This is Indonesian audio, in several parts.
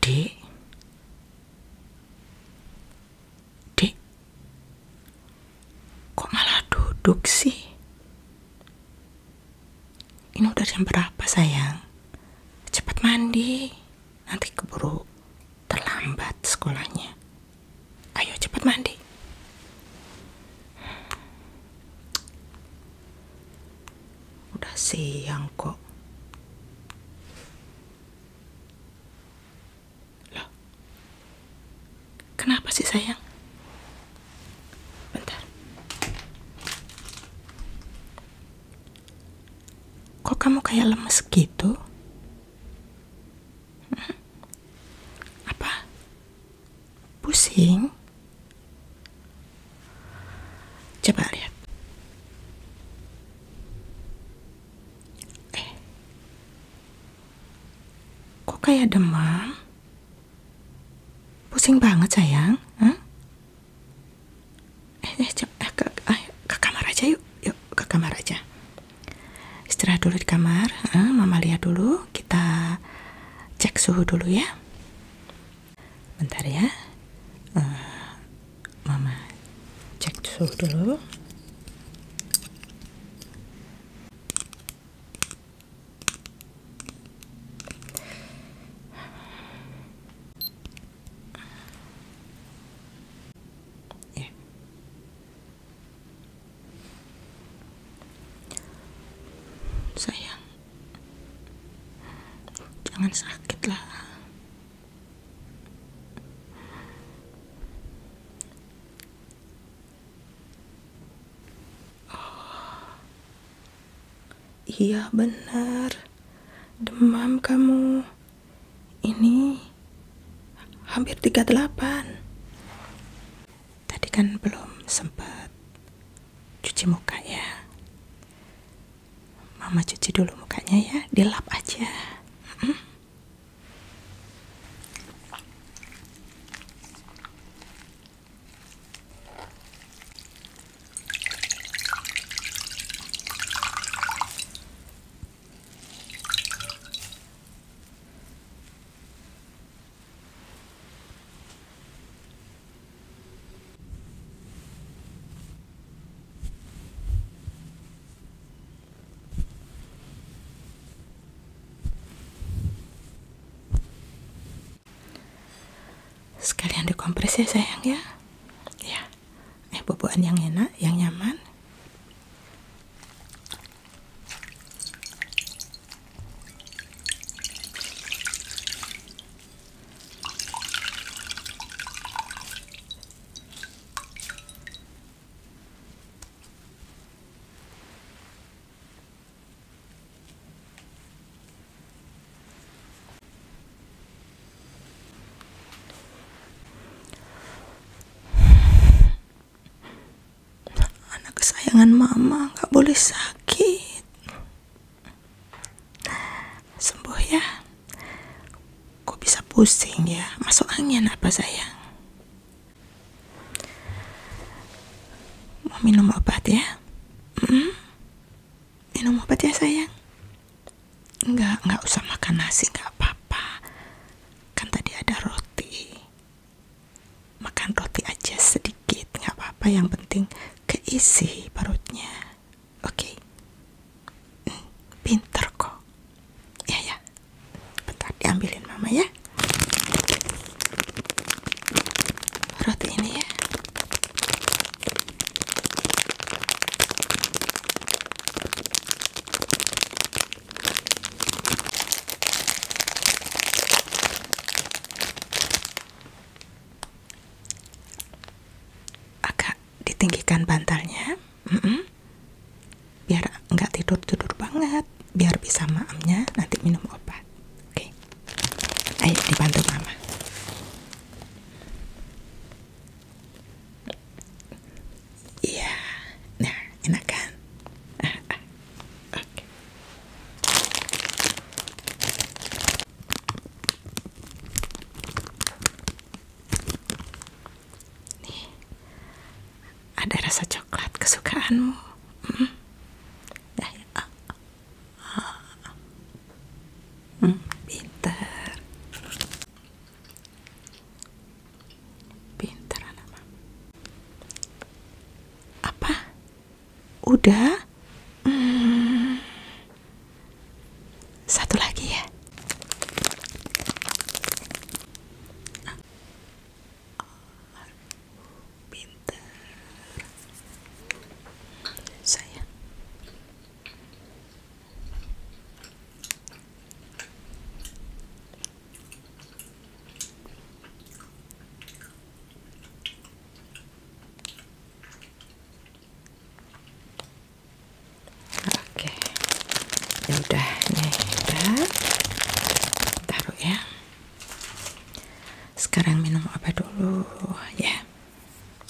Dek. Dek. Kok malah duduk sih? Ini udah jam berapa sayang? Cepat mandi, nanti keburu terlambat sekolahnya. Ayo cepat mandi. Udah siang kok. Loh. Kenapa sih sayang? Bentar. Kok kamu kayak lemes gitu? Apa? Pusing? Coba lihat. Eh. Kok kayak demam? Pusing banget sayang, eh, eh, eh, ke, eh ke kamar aja yuk yuk ke kamar aja istirahat dulu di kamar eh, mama lihat dulu kita cek suhu dulu ya bentar ya uh, mama cek suhu dulu Iya. sayang jangan sakitlah. Oh. Iya benar, demam kamu. Ini hampir 38. Tadi kan belum sempat cuci muka ya. Mama cuci dulu mukanya ya, dilap aja sekalian dikompres ya sayang ya ya eh boboan yang enak yang nyaman Anak kesayangan mama gak boleh sakit. Sembuh ya. Kok bisa pusing ya? Masuk angin apa sayang? Mau minum obat ya? Hmm? minum obat ya sayang Enggak, enggak usah makan nasi, enggak apa-apa Kan tadi ada roti Makan roti aja sedikit, enggak apa-apa Yang penting keisi perutnya Oke okay. hmm, Pinter kok Ya ya Bentar diambilin mama ya Roti ini ya Agak ditinggikan bantalnya, biar nggak tidur tidur banget, biar bisa maamnya nanti minum obat. Oke, okay. dibantu mama. Iya, nah enak kan? ada rasa coklat kesukaanmu. Hmm? Nah, ya. Hmm, pintar. Pintar anak mama. Apa? Udah? Hmm. Satu lagi ya. Pintar. saya Oke, ini ya udah, ini udah, taruh ya. Sekarang minum apa dulu ya?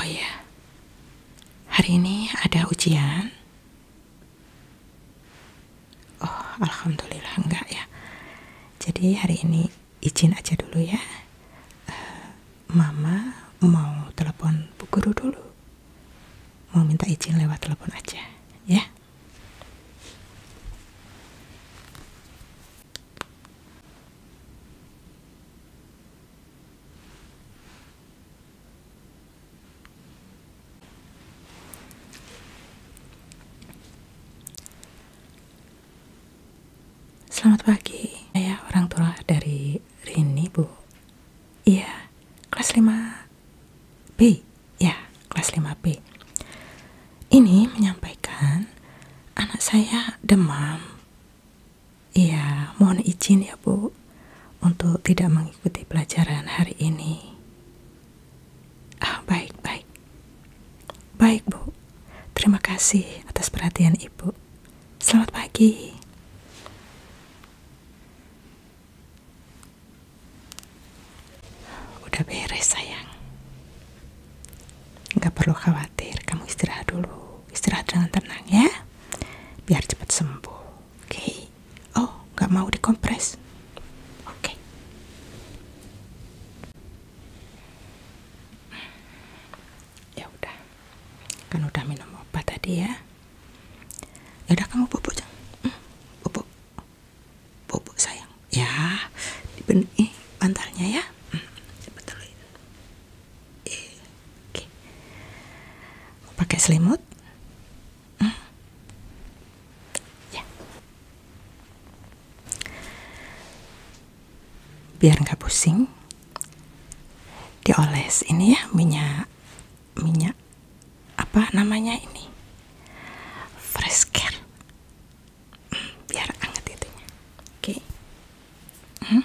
Oh ya, hari ini ada ujian. Oh, alhamdulillah enggak ya. Jadi hari ini izin aja dulu ya. Eh, Mama mau telepon Bu Guru dulu. Mau minta izin lewat telepon aja, ya. Selamat pagi, saya orang tua dari Rini, Bu. Iya, kelas 5B. Ya, kelas 5B. Ini menyampaikan anak saya demam. Iya, mohon izin ya, Bu untuk tidak mengikuti pelajaran hari ini. Ah, baik, baik. Baik, Bu. Terima kasih atas perhatian Ibu. Selamat pagi. Udah beres, sayang. Nggak perlu khawatir, kamu istirahat dulu. Istirahat dengan tenang ya, biar cepat sembuh oke oh nggak mau dikompres oke ya udah kan udah minum obat tadi ya ya udah kamu bubuk jangan hmm, bubuk bubuk sayang ya dibenih bantalnya ya hmm, eh. Oke. Pakai selimut? Hmm. Ya. Biar nggak pusing, dioles ini ya minyak minyak apa namanya ini? Fresh care. Hmm, biar anget itunya. Oke. Hmm.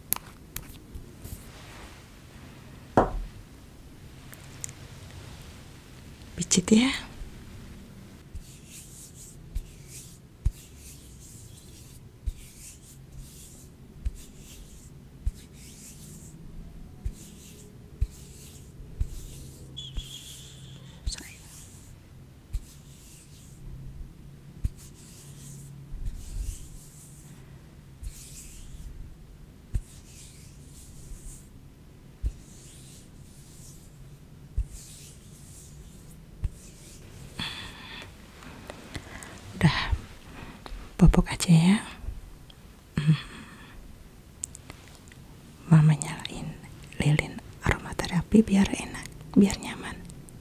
Picit ya. Sorry udah bobok aja ya mm-hmm. mama nyalain lilin aromaterapi biar enak biar nyaman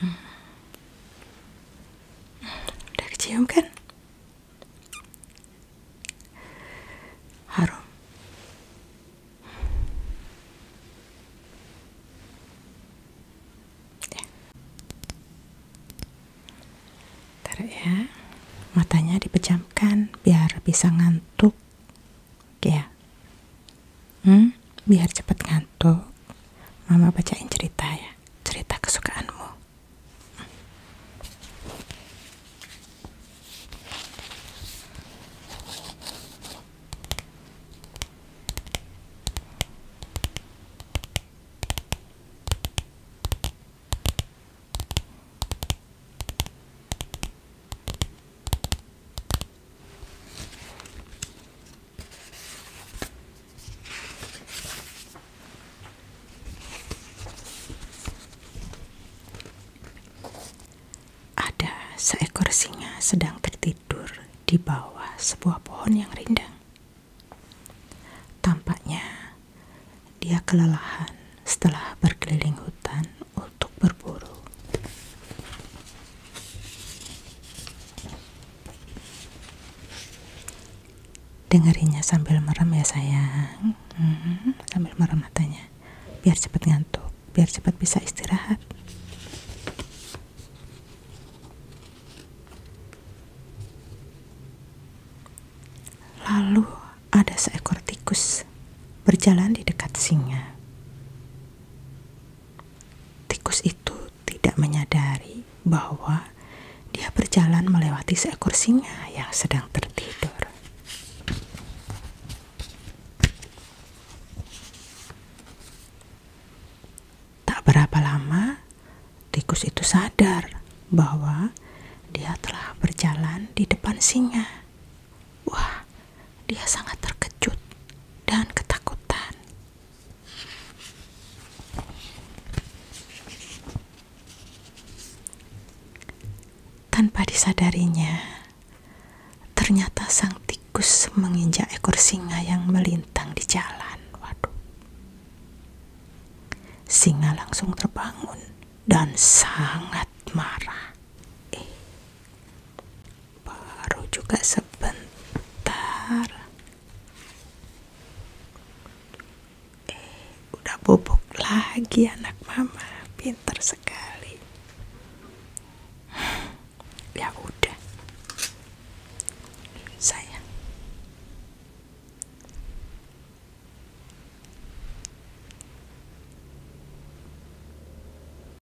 hmm. kan harum ya. ya matanya dipejamkan biar bisa ngantuk ya Hmm? Biar cepat ngantuk. Mama bacain cerita ya. Cerita kesukaanmu. Ada seekor singa sedang tertidur di bawah sebuah pohon yang rindang. Tampaknya dia kelelahan setelah berkeliling hutan untuk berburu. Dengerinnya sambil merem ya sayang hmm, Sambil merem matanya Biar cepat ngantuk Biar cepat bisa istirahat Lalu ada seekor tikus berjalan di dekat singa. Tikus itu tidak menyadari bahwa dia berjalan melewati seekor singa yang sedang tertidur. Tak berapa lama, tikus itu sadar bahwa dia telah berjalan di depan singa. Wah, dia sangat terkejut dan ketakutan. Tanpa disadarinya, ternyata sang tikus menginjak ekor singa yang melintang di jalan. Waduh. Singa langsung terbangun dan sangat marah. Eh, baru juga sebentar eh udah bubuk lagi anak mama pinter sekali ya udah sayang